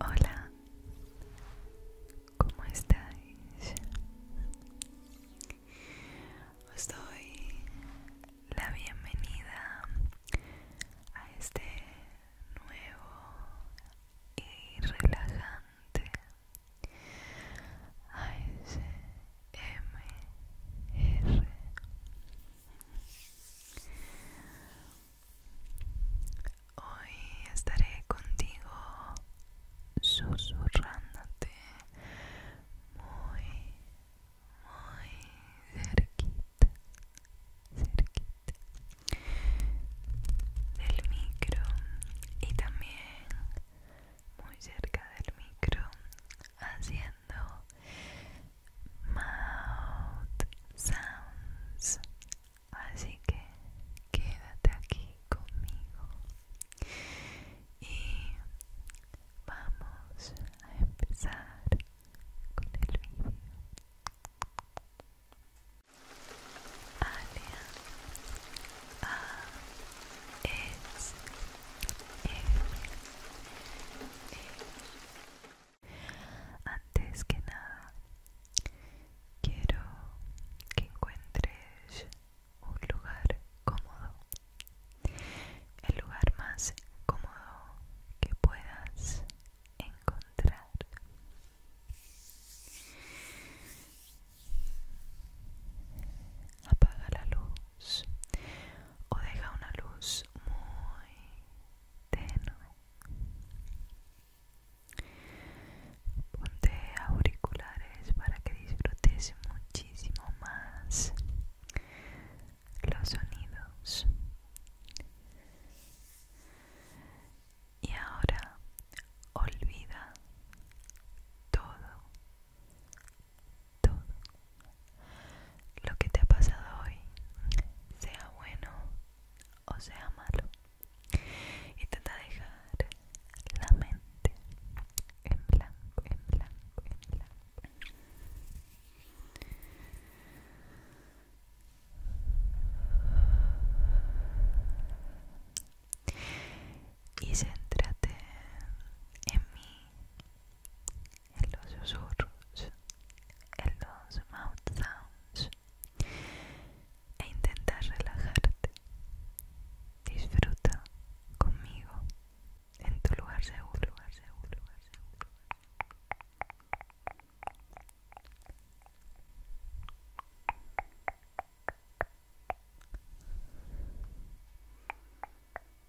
Hola, ¿cómo estáis? Os doy la bienvenida a este nuevo y relajante ASMR Hoy estaré contigo susurrándote muy, muy cerquita, cerquita del micro y también muy cerca del micro haciendo Mouth Sounds. Así que quédate aquí conmigo y vamos a empezar con el video. A S e, e, e. Antes que nada, quiero que encuentres un lugar cómodo, el lugar más cómodo que puedas encontrar. Apaga la luz o deja una luz muy tenue. Ponte auriculares para que disfrutes muchísimo más los sonidos. Y ahora olvida todo todo lo que te ha pasado hoy, sea bueno o sea malo, intenta dejar la mente en blanco, en blanco, en blanco. Y céntrate en mí, en los susurros, en los mouth sounds e intenta relajarte. Disfruta conmigo en tu lugar seguro, lugar seguro, lugar seguro.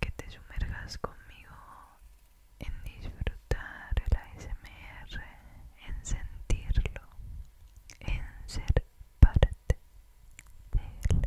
que te sumergas conmigo en disfrutar el ASMR, en sentirlo, en ser parte de él.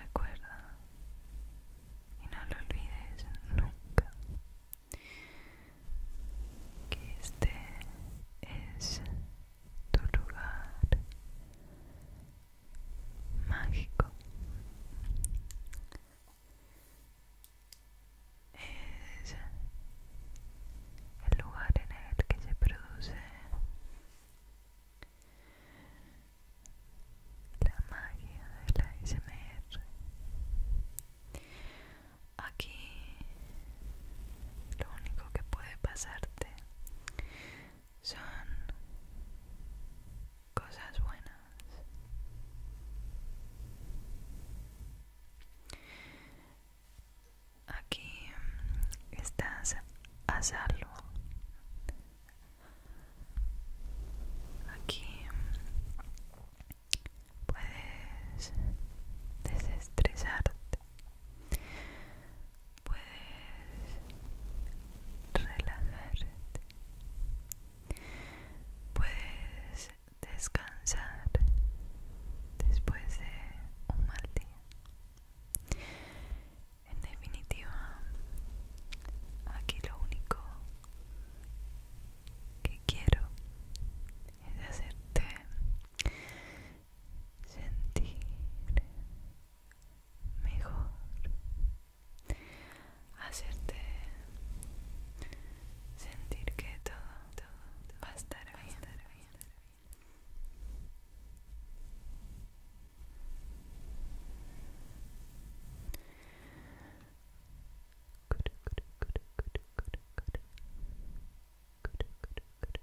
Recuerda y no lo olvides nunca que este es tu lugar mágico es el lugar en el que se produce la magia de la SMR Aquí lo único que puede pasarte son cosas buenas. Aquí mm, estás a salvo. Aquí mm, puedes desestresarte puedes relajarte, puedes descansar después de un mal día. En definitiva, aquí lo único que quiero es hacerte sentir mejor hacerte sentir que todo, va a estar bien, bien.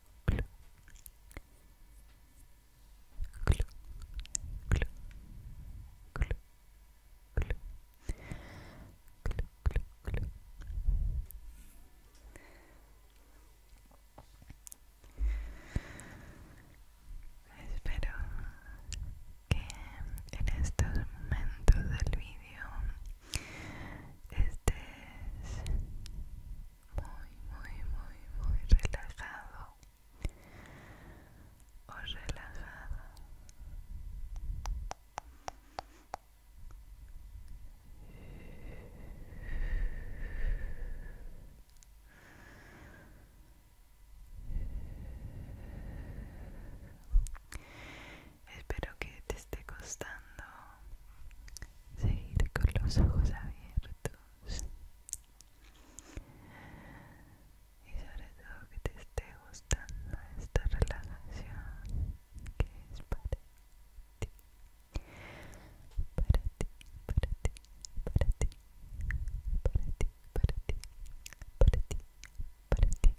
Espero que en estos momentos del vídeo estés muy, muy, muy, muy relajado o relajada. Espero que te esté costando seguir con los ojos abiertos y sobre todo que te esté gustando esta relajación que es para ti para ti para ti para ti para ti para ti para ti para ti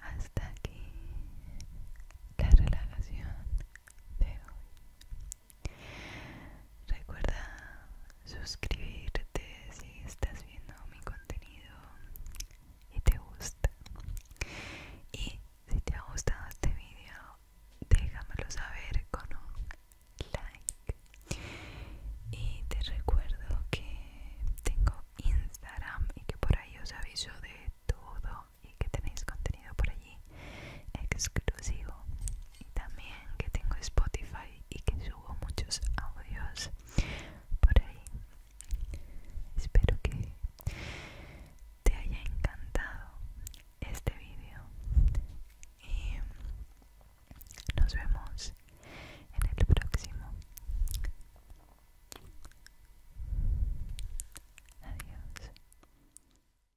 Hasta aquí la relajación de hoy. Recuerda suscribirte si estás viendo mi contenido y te gusta. Y si te ha gustado este video, déjamelo saber con un like. Y te recuerdo que tengo Instagram y que por ahí os aviso de todo y que tenéis contenido por allí exclusivo y también que tengo Spotify y que subo muchos audios por ahí espero que te haya encantado este vídeo y nos vemos en el próximo adiós